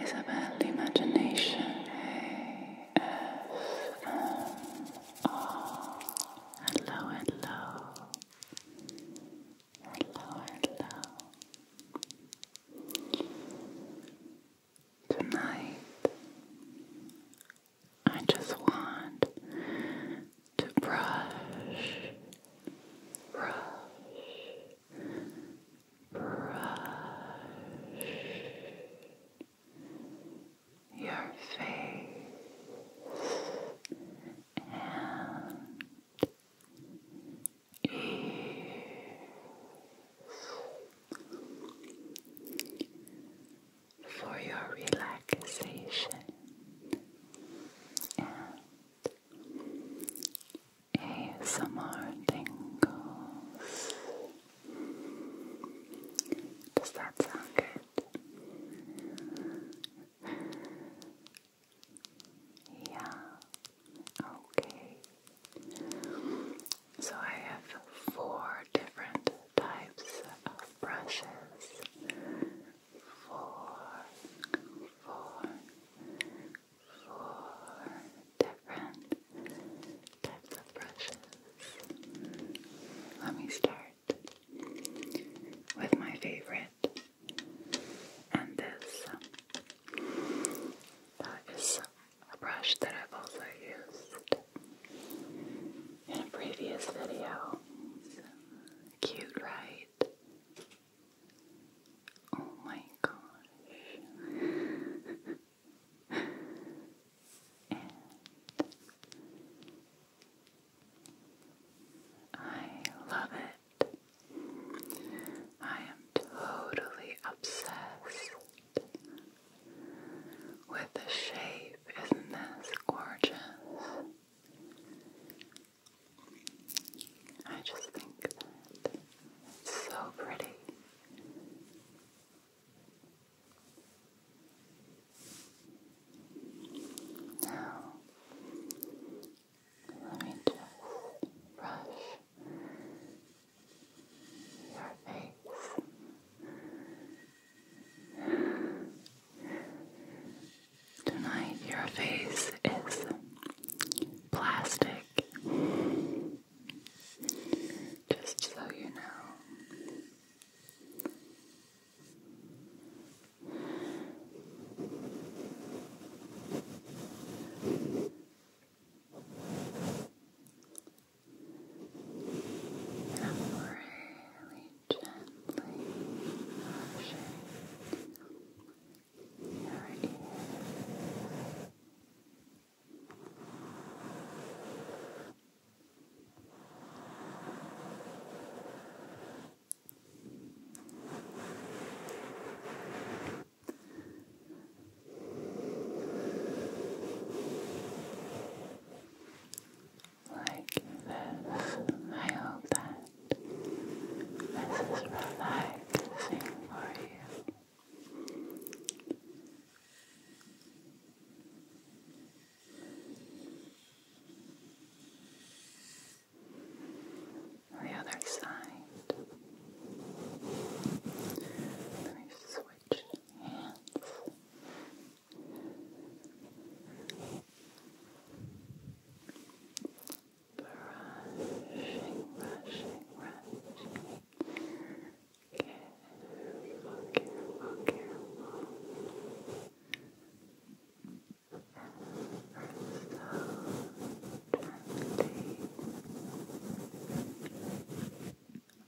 is about the imagination. ASMR. Hello, hello. Hello, hello. Tonight, I just want to brush, brush, brush your face and ears for your relaxation ASMR tingles. Does that sound good? Yeah. Okay. So I have four different types of brushes. Four, four, four different types of brushes. Let me start with my favorite, and this. Um, that is a brush that I've also used in a previous video. Cute, right? Oh my gosh. I love it. I am totally obsessed with the shape. Isn't this gorgeous? I just think that it's so pretty. Now, let me just brush your face. Tonight, your face is plastic. Just so you know. I'm really gently nourishing your ear. Like this, I hope that this is relaxing for you. The other side. Let me switch hands. Brushing, brushing, brushing. Careful, careful, careful.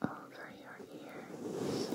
So over your ears. Good.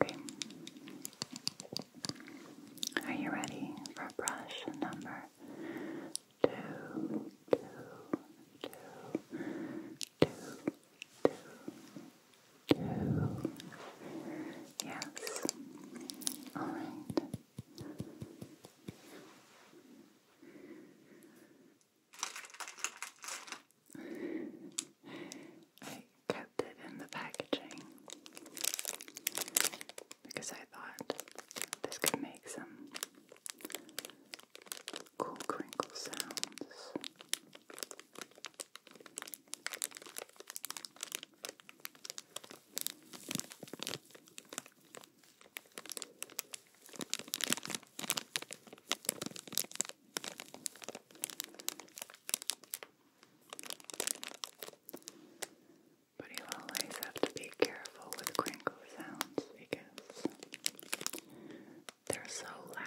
Okay. Are you ready for brush number two, two, two, two, two, two? Yes. All right kept it in the packaging because I thought this could make some cool crinkle sounds. But you always have to be careful with crinkle sounds because they're so loud.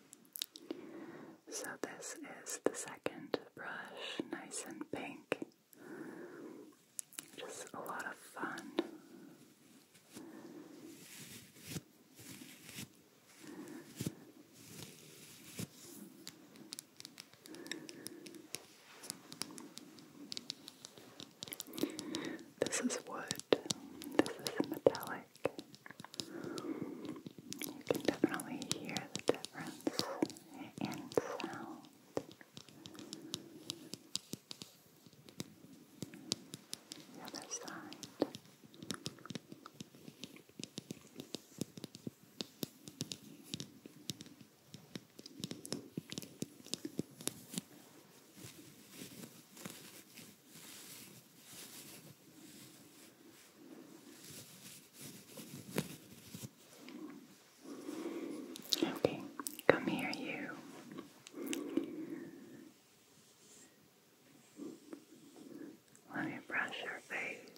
so, this is the second brush, nice and pink. Just a lot of fun. This is wood. This is metallic like. You can definitely hear the difference in sound. The other side. Okay, come here, you. Let me brush your face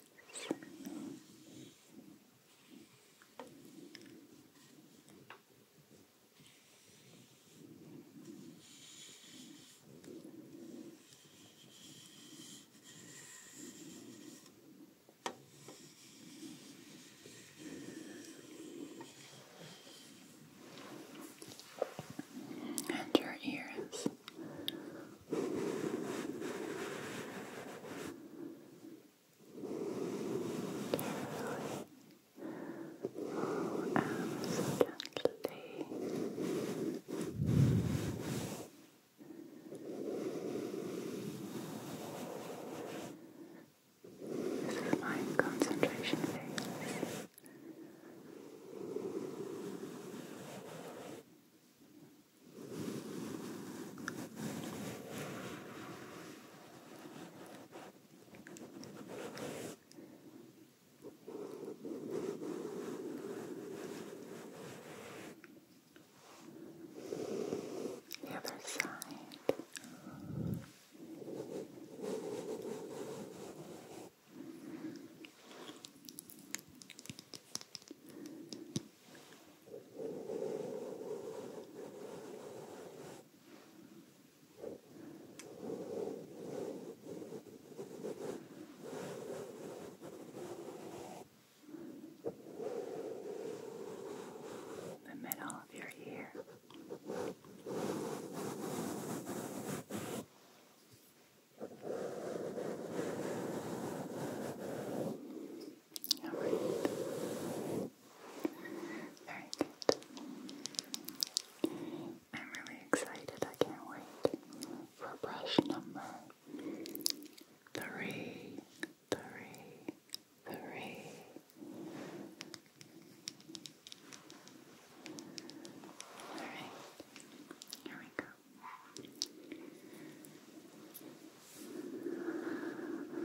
and your ears. Oh, absolutely. This is my concentration phase. The other side. Good. The middle of your ear. All right. Very good. I'm really excited. I can't wait for brush number three, three, three. All right, here we go.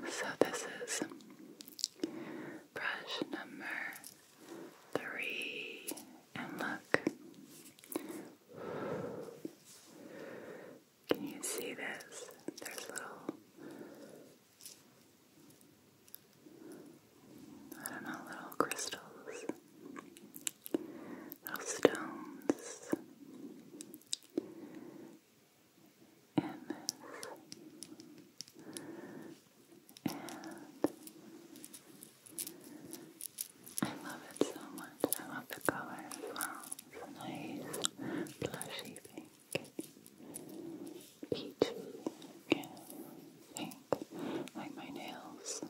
So this is brush number three and look. Can you see this? There's little, I don't know, little crystals, little stones in this. And I love it so much. I love the color as well. It's a nice blushy pink, peachy, yeah, pink, like my nails.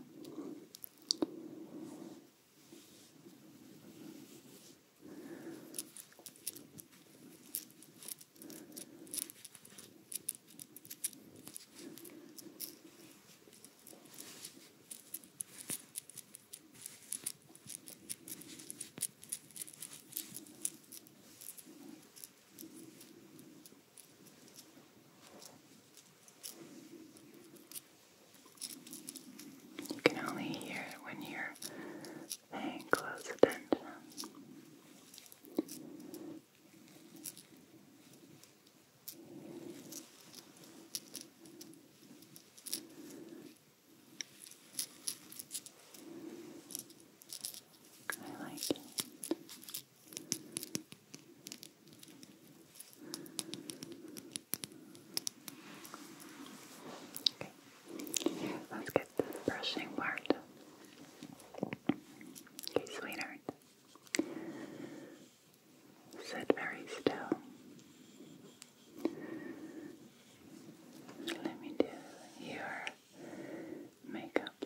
You can only hear it when you're paying close attention. I like it. Okay, let's get to brushing part. Okay, sweetheart. Sit very still. Let me do your makeup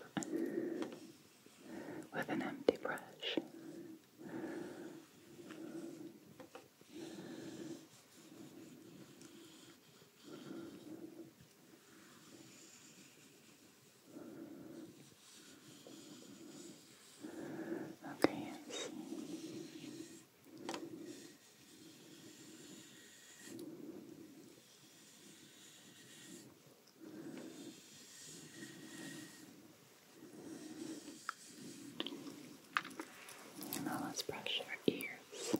with an empty brush. Okay, Now let's brush our ears.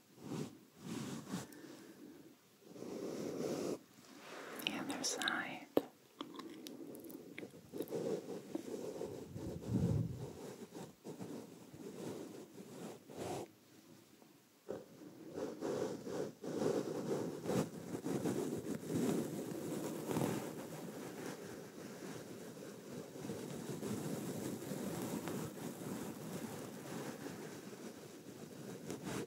The other side. Good.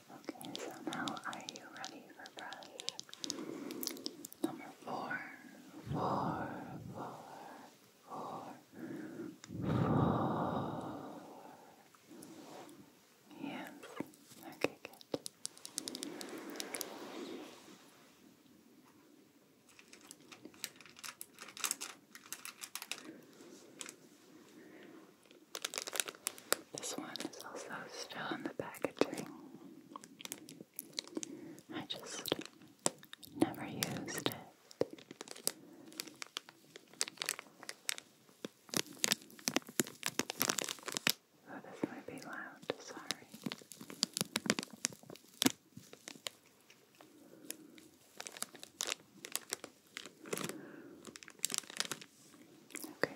Okay, so now are you ready for brush? Number four, four, four, four, four. Yeah. Okay, good. This one is also still in the packaging. I just never used it. Oh, this might be loud, sorry. Okay.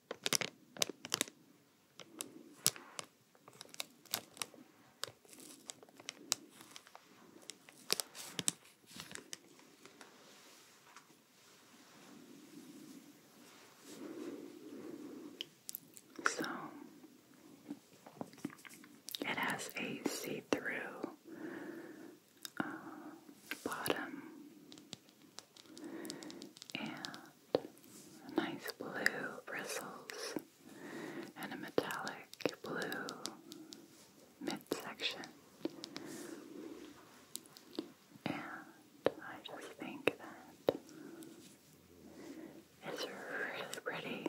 So it has a see through uh, bottom and nice blue bristles and a metallic blue midsection. And I just think that it's really pretty.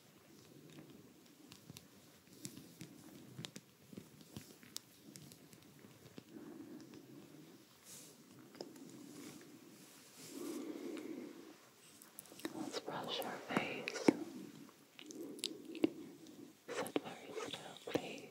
Let's brush our face. Sit very still, please.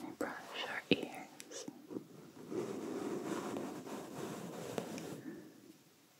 We'll brush our ears.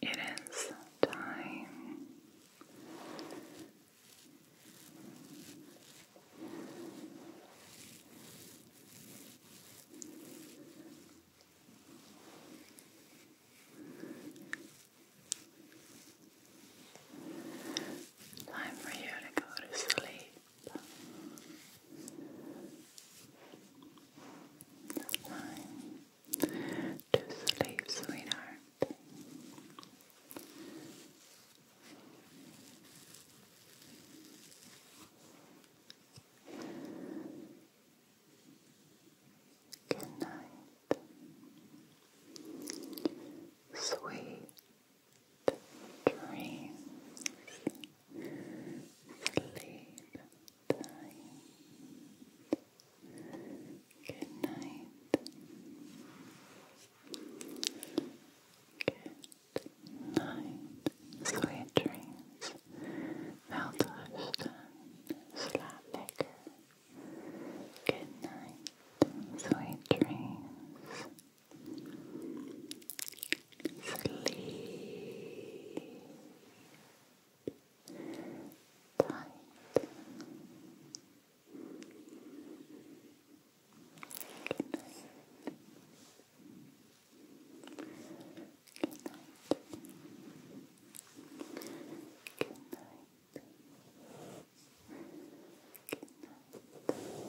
It is time Time for you to go to sleep. to sleep, sweetheart. Good night, sweet dreams, sleep time. Good night. Good night. Sweet dreams. Melthustan. Slapnicker. Good night. Sweet dreams. Sleep tight. Good night. Good night. Good night. Good night.